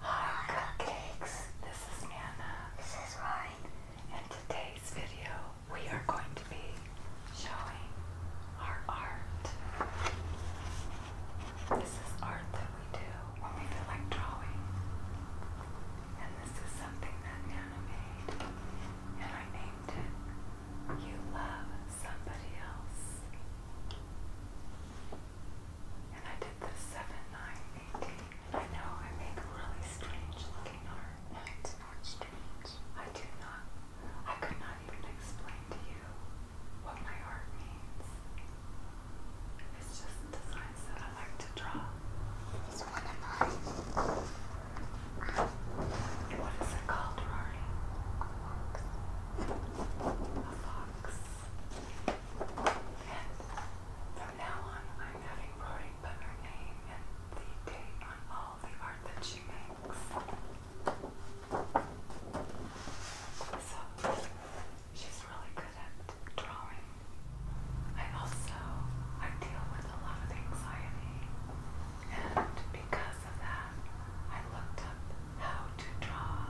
Hi Cupcakes, this is Nana, this is Ryan, and today's video we are going to be showing our art. This is art that we do when we feel like drawing, and this is something that Nana made, and I named it You Love Somebody Else. And I did this 7, 9, I know I make really strange looking art. it's not strange. I do not. I could not even explain to you what my art means. It's just designs that I like to draw. It's one of mine. What is it called, Rory? A fox. And from now on, I'm having Rory put her name and the date on all the art that she makes. So, she's really good at drawing. I also, I deal with a lot of anxiety. And because of that, I looked up how to draw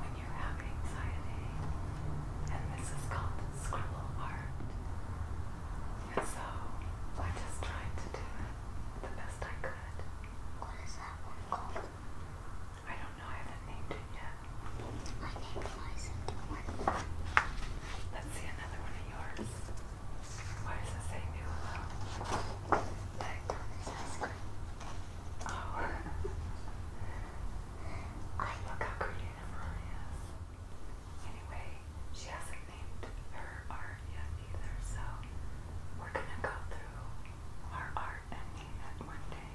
when you have anxiety, and this is called scribble art. And so I just tried to do it the best I could. What is that one called? I don't know, I haven't named it yet. I named Liza one. Let's see another one of yours. Why does it say new hello? Like, oh, look how creative Lily is. Anyway, she hasn't named her art yet either, so we're gonna go through our art and name it one day.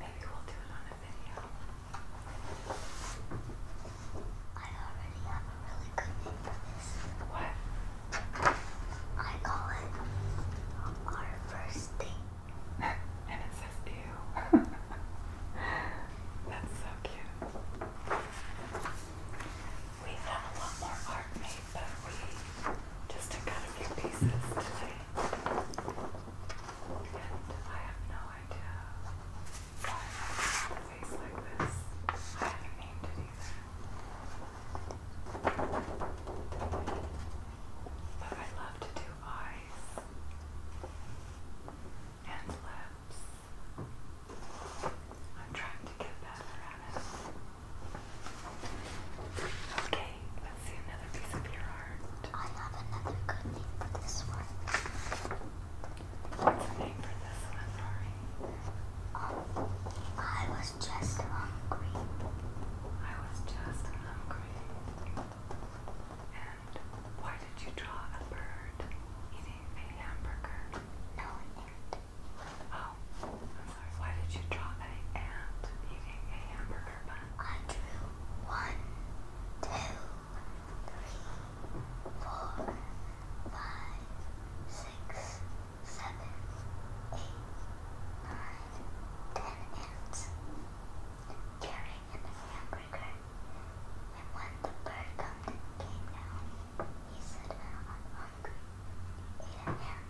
Maybe we'll do it on a video. I already have a really good name for this. What? I call it our first date and it says ew. That's so cute. We have a lot more art made, but we just took a few pieces today. And I have no idea why I have a face like this. I haven't named it either. But I love to do art and lips. I'm trying to get better at it. Okay, let's see another piece of your art. I have another good name for this one. What's the name for this one, Rory? Um, I was just hungry. I was just hungry. And why did you draw a bird eating a hamburger? Oh, I'm sorry. Why did you draw an ant eating a hamburger bun? I drew one, two, three, four, five, six, seven, eight, nine, ten ants and carrying in hamburger. And when the bird come came down, he said, I'm hungry. He a ham,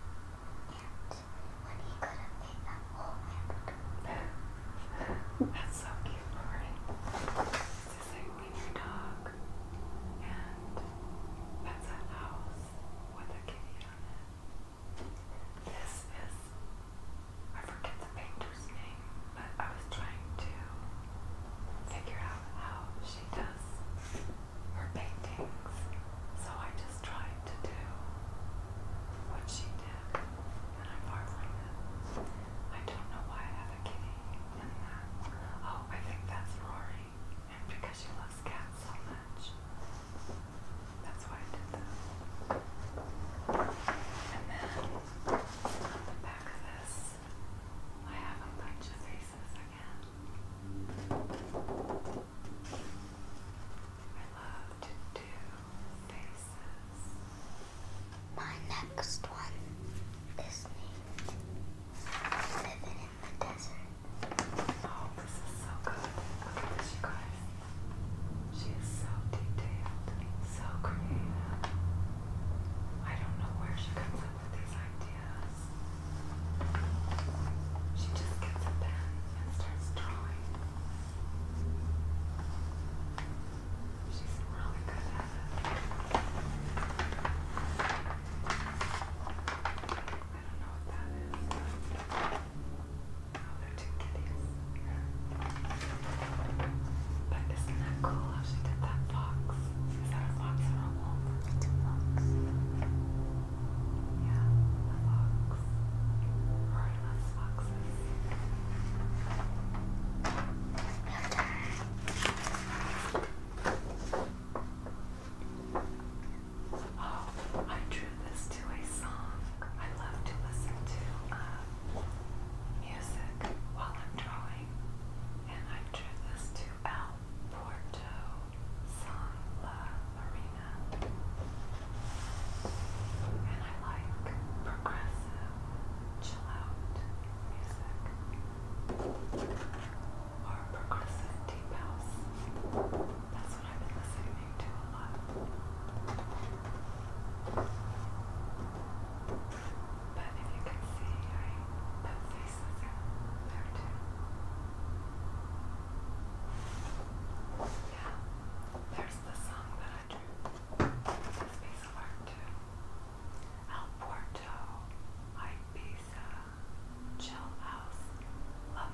and when he could have eaten a whole hamburger. That's so cute, Lauren. It's just your dog, and that's a house with a kitty on it. This is, I forget the painter's name, but I was trying to figure out how she does her paintings, so I just tried to do what she did, and I'm marveling it. I don't know why I have a kitty in that. Oh, I think that's Rory, and because she loves cats so much. That's why I did that. And then the back of this, I have a bunch of faces again. I love to do faces. My next one is Living in the Desert. Oh, this is so good. Look at you guys. She is so detailed, so creative. I don't know where she comes up with these ideas. She just gets a pen and starts drawing. She's really good at I don't know what that is. Oh, they're two kitties. But isn't that cool how she did that fox? Is that a fox or a wolf? It's a Yeah, a fox. Or I foxes. Oh, I drew this to a song. I love to listen to um, music while I'm drawing, and I drew this to Al Porto song Marina, and I like progressive chill out music or progressive deep house. But if you can see, I put faces in there too. Yeah, there's the song that I drew. This piece of art too. El Porto, Ibiza, Chill House, La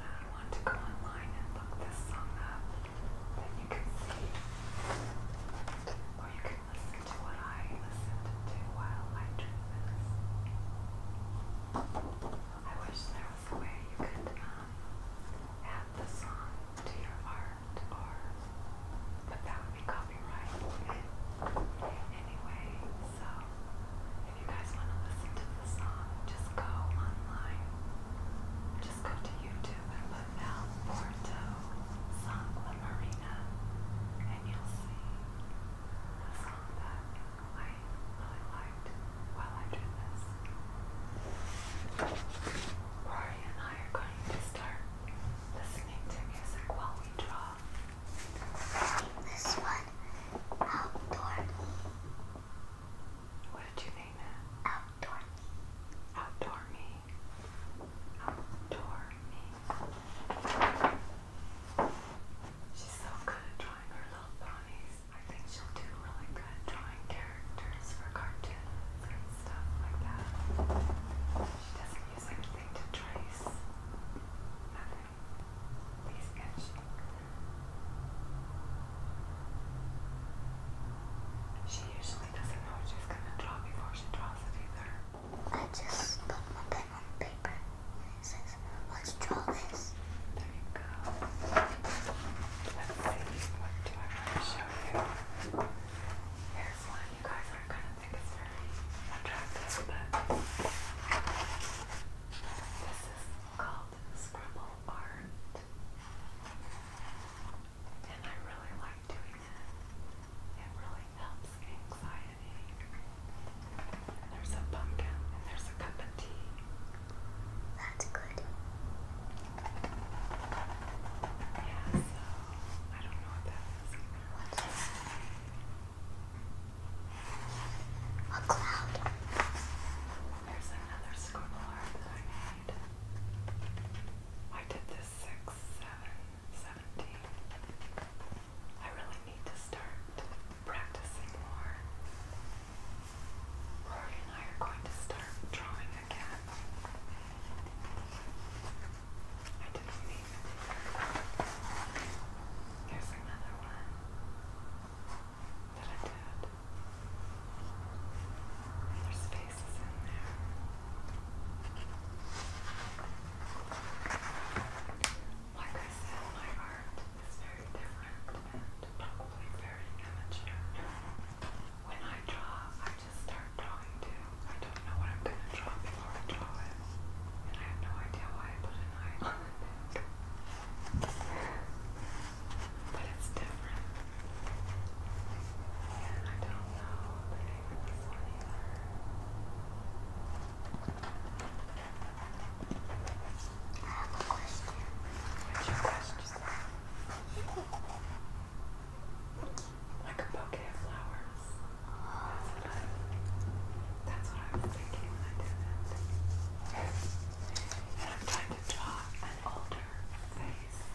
I want to go online and look this song up. Then you can see, or you can listen to what I listened to while I drew this. I wish there was a way you could um, add the song to your art, or but that would be copyright. Anyway, so if you guys want to listen to the song, just go online just go to YouTube and put down Porto Sangla Marina and you'll see a song that I really liked while I did this. Rory and I are going to start listening to music while we draw. this one, outdoor. What did you name it? Outdoor Outdoor me. Outdoor me. She's so good at drawing her little ponies. I think she'll do really good drawing characters for cartoons and stuff like that. She doesn't use anything to trace. Nothing. These inch she usually doesn't know what she's gonna draw before she draws it either. I just put my pen on paper and it says, let's draw this. There you go. what do I want to show you? Here's one. You guys aren't gonna think it's very attractive, but this is called Scribble Art. And I really like doing it. It really helps anxiety. There's a pumpkin there's a cup of tea. That's good. Yeah, I don't know what that is What's that? A cloud. There's another scribble I did this 6, 7, I really need to start practicing more. Rory and I are going to start drawing again. I didn't mean it. Here's another one that I did. There's faces in there. Like I said, my art is very different and probably very immature. When I draw, I just start drawing I don't know what I'm going to draw before I draw it. And I have no idea why I put an eye on it but it's different. And I don't know the name of this one either. like a bouquet of flowers. That's what I was thinking when I did that. And I'm trying to draw an older face.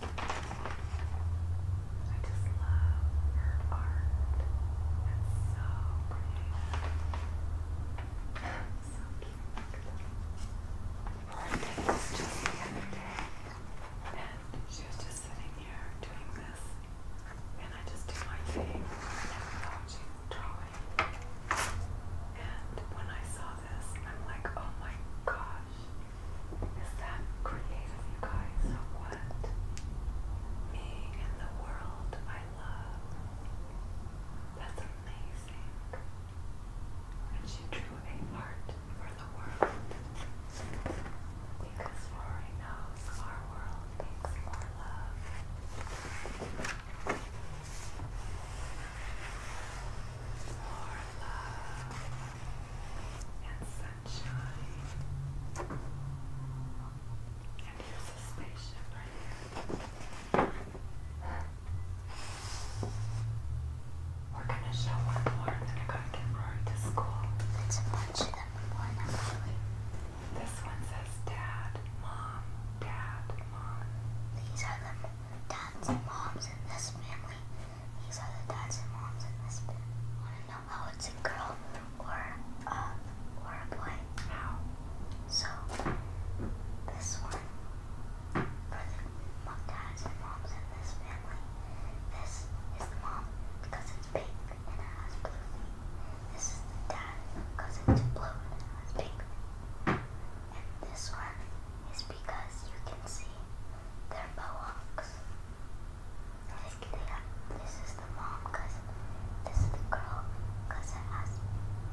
I just love her art. It's so pretty. So cute. Look was just the other day, and she was just sitting here doing this, and I just do my thing, and watching drawing. And when I saw this, I'm like, oh my gosh is that creative, you guys, of what me and the world I love. That's amazing. And she drew a heart for the world. Because Rory knows our world needs more love. More love and so and here's a spaceship We're gonna show one more and I gotta get Rory to school. It's a bunch of them one actually. This one says dad, mom, dad, mom. These are the dads and moms in this family. These are the dads and moms in this bit. Want to know how it's a girl or um or a boy? How? So this one for the dads and moms in this family. This is the mom because it's pink and it has blue feet. This is the dad because it's blue and it has pink. And this one is because you can see they're bohawks. Just kidding. This is the mom because this is the girl because it has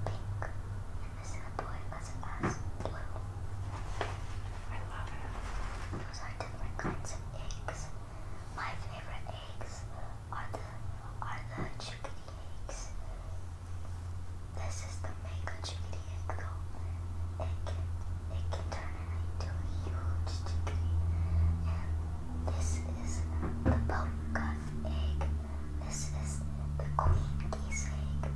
pink. And this is the boy because it has blue. I love it. Those are different kinds of eggs. My favorite eggs are the are the chickadee eggs. This is the mango chickadee egg though. It it can turn into a huge chicken. this is the Pumpkin egg. This is the Queen Gee's egg.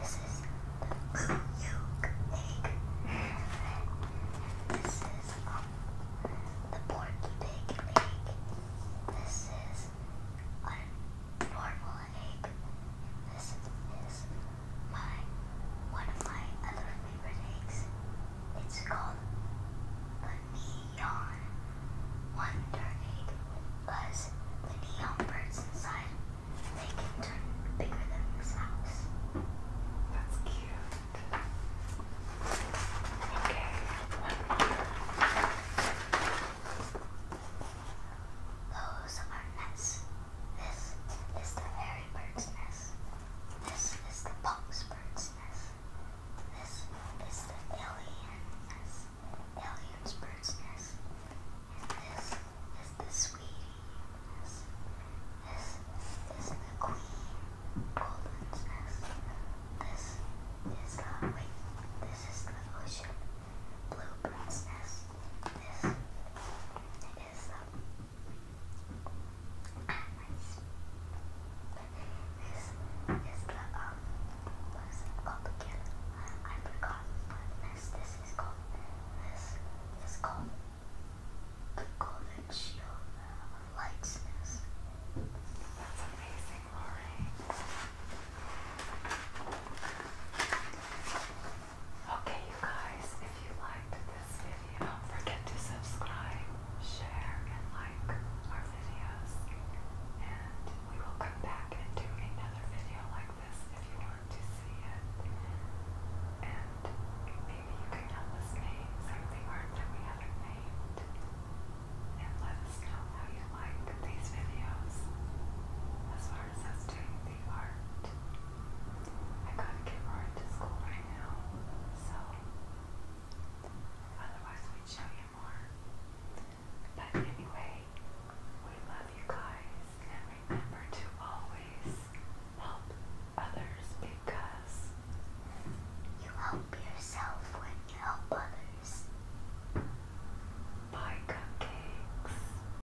This is the Puke egg. This is um, the Porky Pig egg. This is a normal this is my one of my other favorite eggs. It's called the Neon Wonder Egg because the neon birds inside they can turn bigger than this house. That's cute. Okay, Those are nests. This is the hairy bird's nest. This is the box bird's nest. This is the alien nest. Alien's bird's nest. And this is the sweetie nest. This is the queen golden's nest. This is the wait. This is the ocean. Blue Princess. This is the iris. This is the um what is it called again? I forgot what this is called. This is called the golden shield of lightness. That's amazing, Lauren. Okay, you guys, if you liked this video, don't forget to subscribe, share, and like our videos. And we will come back and do another video like this if you want to see it. And maybe you can help us name something art that we haven't named. And let us know how you like these videos as far as us doing the art. I couldn't get Rory to school right now, so otherwise we'd show you more. But anyway, we love you guys and remember to always help others because you help yourself when you help others. Bye, cupcakes.